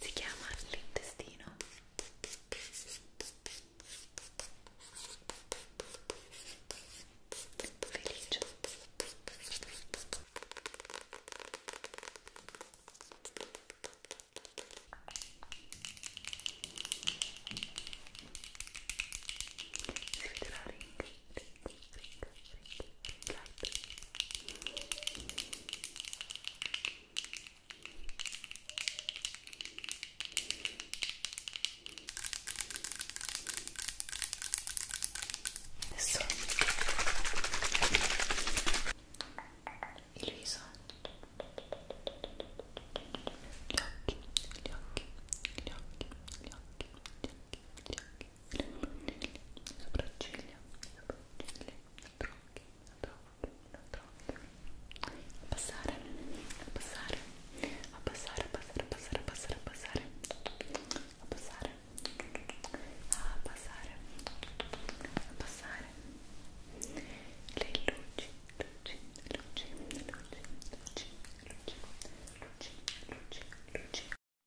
si chiama l'intestino felice si vedrà ring, ring, ring, ring, ring, ring light adesso il viso gli occhi, gli occhi, gli occhi, gli occhi, gli occhi, gli occhi, le sopracciglia, le sopracciglia, le tronche, a passare, a passare, a passare, a passare, a passare, a passare, a passare, a passare, a passare, le luci, luci, luci, luci, luci, luci, luci, luci, luci.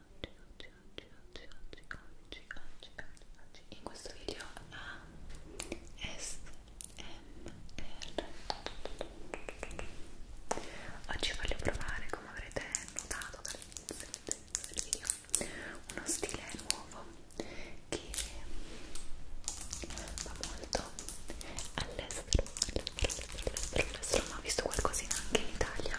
oggi, oggi, oggi, oggi, oggi, oggi, oggi, oggi, oggi, in questo video a SMR oggi voglio provare, come avrete notato dall'inizio del video, uno stile nuovo che va molto all'estero, all'estero, all'estero, all'estero, ma ho visto qualcosina anche in Italia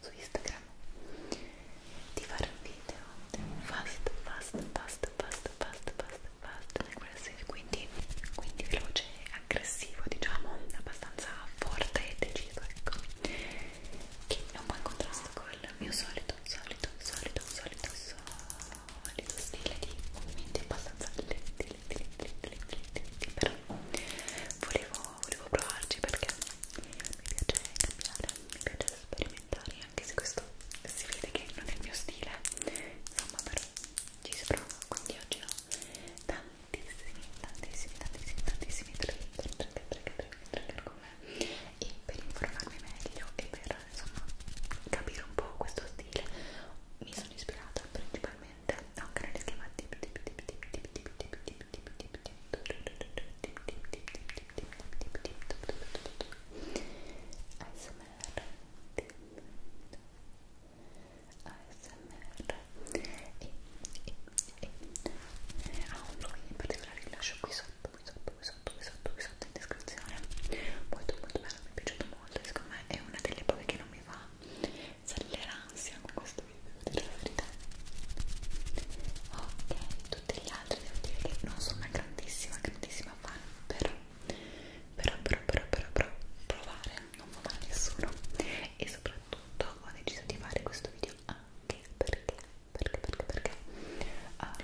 su Instagram di fare un video fast, fast, fast, fast, fast, fast, fast quindi, quindi veloce e aggressivo diciamo, abbastanza forte e deciso ecco che è un po' in contrasto col mio solito, solito, solito, solito, solito stile di movimenti abbastanza letti, letti, letti, letti, letti, letti, letti però volevo volevo provarci perché mi piace cambiare, mi piace sperimentare anche se questo si vede che non è il mio stile insomma però ci si prova quindi oggi ho tantissimi, tantissimi, tantissimi, tantissimi trigger, trigger, trigger, trigger con me e per informarmi meglio e per insomma capire un po' questo stile mi sono ispirata principalmente niente no canale schiamati ASMR ASMR e, e, e a un login in particolare vi lascio qui sotto qui sotto qui sotto qui sotto qui sotto in descrizione molto molto bello mi è piaciuto molto secondo me è una delle poche che non mi va Sale l'ansia con questo video, devo dire la verità. Ok, tutti gli altri devo dire che non sono una grandissima, grandissima fan, però, però, però, però, però, però provare non fa male a nessuno. E soprattutto ho deciso di fare questo video anche perché, perché, perché, perché ah,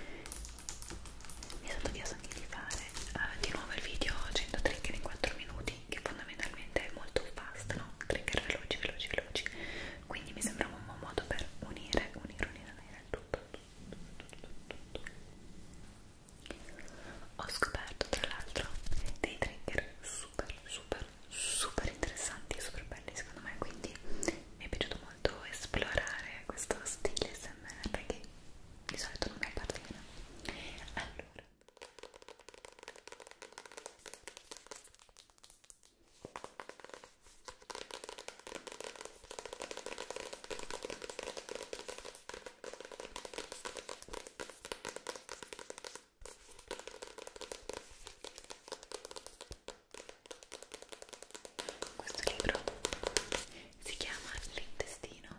mi è stato chiesto anche di fare ah, di nuovo il video 100 trigger in 4 minuti che fondamentalmente è molto fast, no? Trigger veloci, veloci, veloci. Quindi mi sembrava un buon modo per unire, unire, unire, unire tutto, tutto, tutto, tutto, tutto. Ho scoperto tra l'altro dei trigger super, super, super interessanti e super belli secondo me, quindi mi è piaciuto molto esplorare questo stile SMR che di solito non mi appartiene. Allora questo libro si chiama L'intestino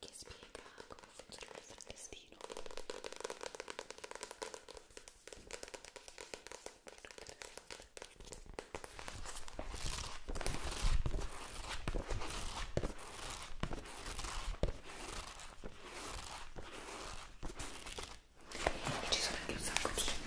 che spiega come funziona il frattestino e ci sono anche un sacco di disegni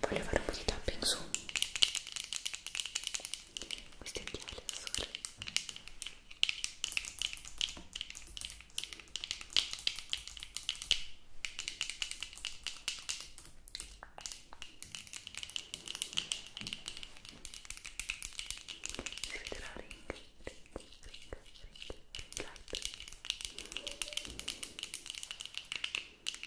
voglio fare un po' di tapping su questi occhiali azzurri si vedrà ring, ring, ring, ring, ring light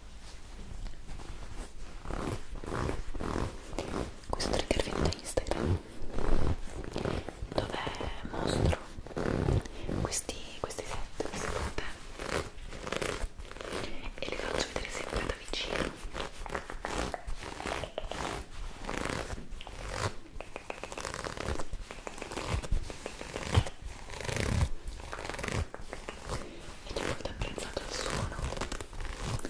questo trigger viene da Instagram dove mostro questi, questi set, queste foto e li faccio vedere sempre da vicino e ti ho molto apprezzato il suono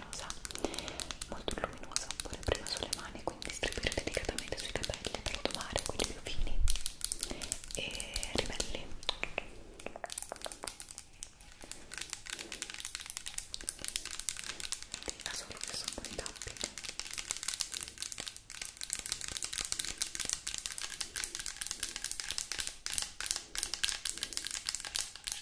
luminosa molto luminosa pure prima sulle mani quindi distribuire delicatamente sui capelli per domare quelli più fini e ribelli da solo che sono buoni tappi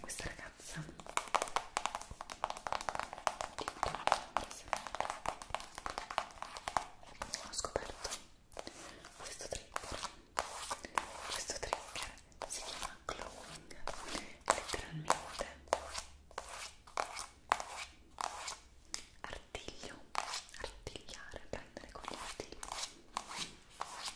questa ragazza ho scoperto questo trigger questo trigger si chiama glowing letteralmente artiglio artigliare prendere con gli artigli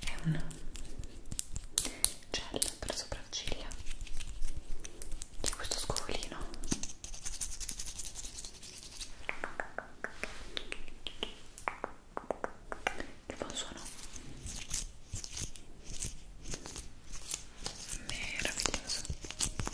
è un gel per sopracciglia c'è questo scovolino che buon suono meraviglioso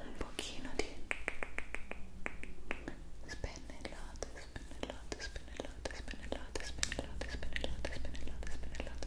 un pochino di spennellate, spennellate, spennellate, spennellate, spennellate, spennellate, spennellate, spennellate. Spennellate,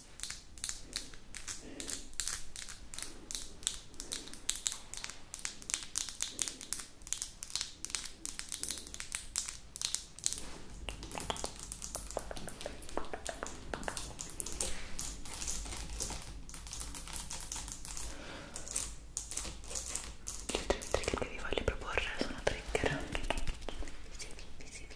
Gli altri trigger che vi voglio proporre sono trigger visivi, visivi,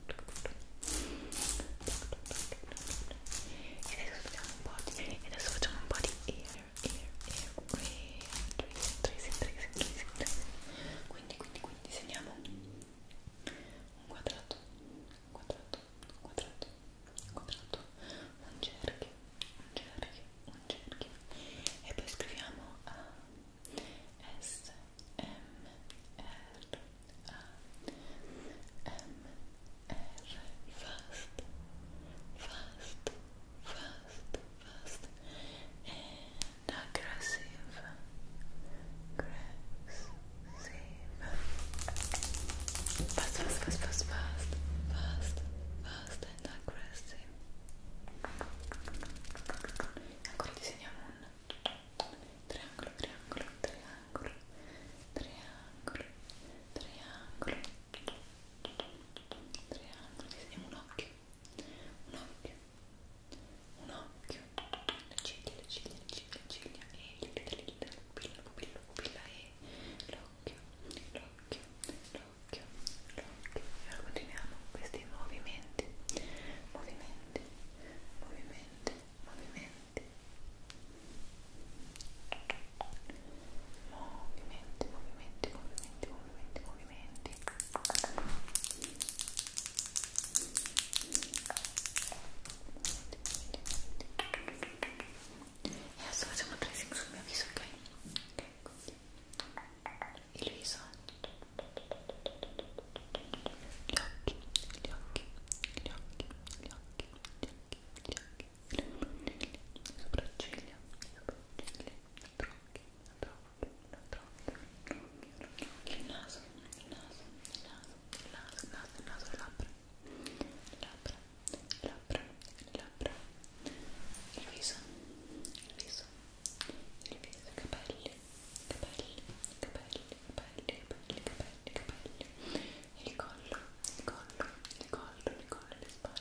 e adesso facciamo un po' di e adesso facciamo un po' di ear ear ear tracing tracing tracing tracing tracing quindi quindi quindi disegniamo un quadrato un quadrato un quadrato un quadrato un cerchio un cerchio un cerchio e poi scriviamo a S M R A M R fast fast fast fast and aggressive aggressive fast fast fast fast fast fast fast and aggressive ancora disegniamo un triangolo, triangolo, triangolo, triangolo, triangolo, triangolo, disegniamo un occhio, un occhio, un occhio, le ciglia, le ciglia, le ciglia, le ciglia, e le dita, le dita, la pupilla, la pupilla, la pupilla, e l'occhio, l'occhio, l'occhio, l'occhio, e ora continuiamo questi movimenti, movimenti, movimenti, movimenti movimenti, movimenti, movimenti, movimenti, movimenti e adesso facciamo tracing sul mio viso, ok? ok, così il viso il gli occhi, gli occhi, gli occhi, gli occhi, gli occhi, gli occhi, le mani, le sopracciglia, le sopracciglia, le tronchi, le tronchi, le tronchi, il naso, il naso, il naso, il naso, il naso, il naso, le labbra, le labbra, le labbra, le labbra, il viso, il viso, il viso, i capelli, capelli, capelli, capelli, capelli, capelli, capelli, il collo, il collo, il collo, il collo, le spalle,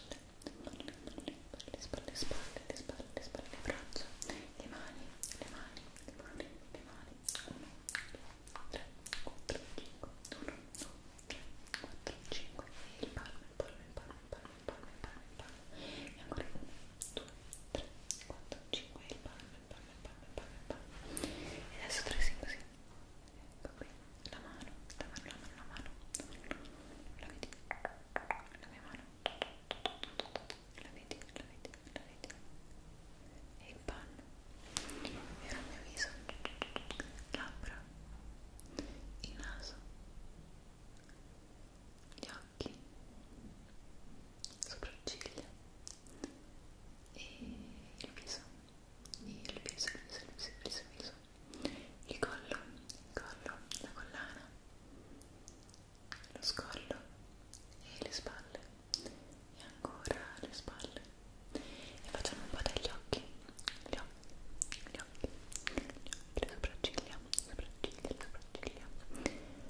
le spalle, le spalle, le spalle, le spalle, le braccia, le mani, le mani, le mani, le mani, 1, 2, 3, 4, 5, 1, 2, 3, 4, 5, il palmo, il palmo, il palmo, il palmo, il palmo, il palmo, il palmo, e ancora 1, 2, 3, 4, 5, il palmo, il palmo, palme, palme, palme. E adesso tracciamo così. Ecco qui, la mano, la mano, la mano, la mano. La vedi? La mia mano. La vedi, la vedi, la vedi. E il panno. E ora il mio viso. Labbra. Il naso. Gli occhi. Sopracciglia e il viso, il viso, il viso, il viso, il viso, il, viso. il collo, il collo, la collana, lo scollo e le spalle e ancora le spalle e facciamo un po' degli occhi, gli occhi, gli occhi, gli occhi, le sopracciglia, le sopracciglia, le sopracciglia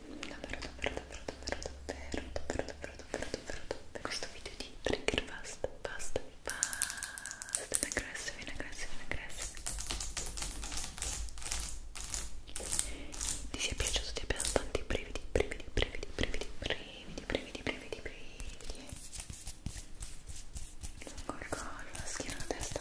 davvero davvero davvero davvero davvero davvero davvero davvero davvero davvero questo video di trigger basta basta basta in aggressive in aggressive in aggressive ti sia piaciuto ti abbia dato tanti brividi brividi brividi brividi brividi brividi brividi brividi lungo il collo schiena la testa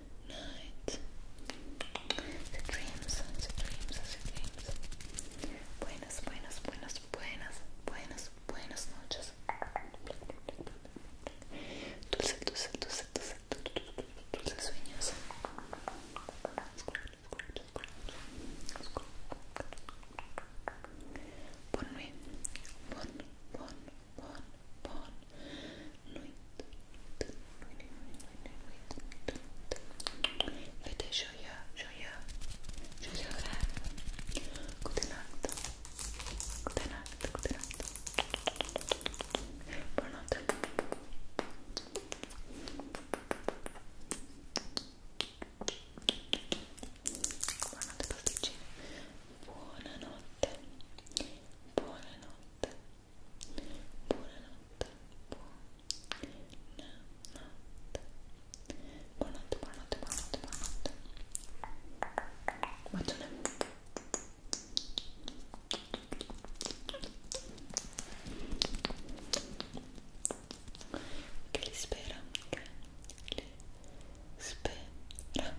night. The dreams, the dreams, the dreams. Buenas, buenas, buenas, buenas, buenas, buenas noches. Dulce, dulce, dulce, dulce, dulce sueños. Ponme, pon, pon, buon, buon nuit, nuit, nuit, nuit, nuit, nuit. Fate gioia, gioia, gioia orale. Goodnight, goodnight, goodnight. Buonanotte. Buonanotte pasticcini. Buonanotte. Buonanotte buonanotte, buonanotte, buonanotte, buonanotte, buonanotte, buonanotte. Bacione. Che li spera, che li spera.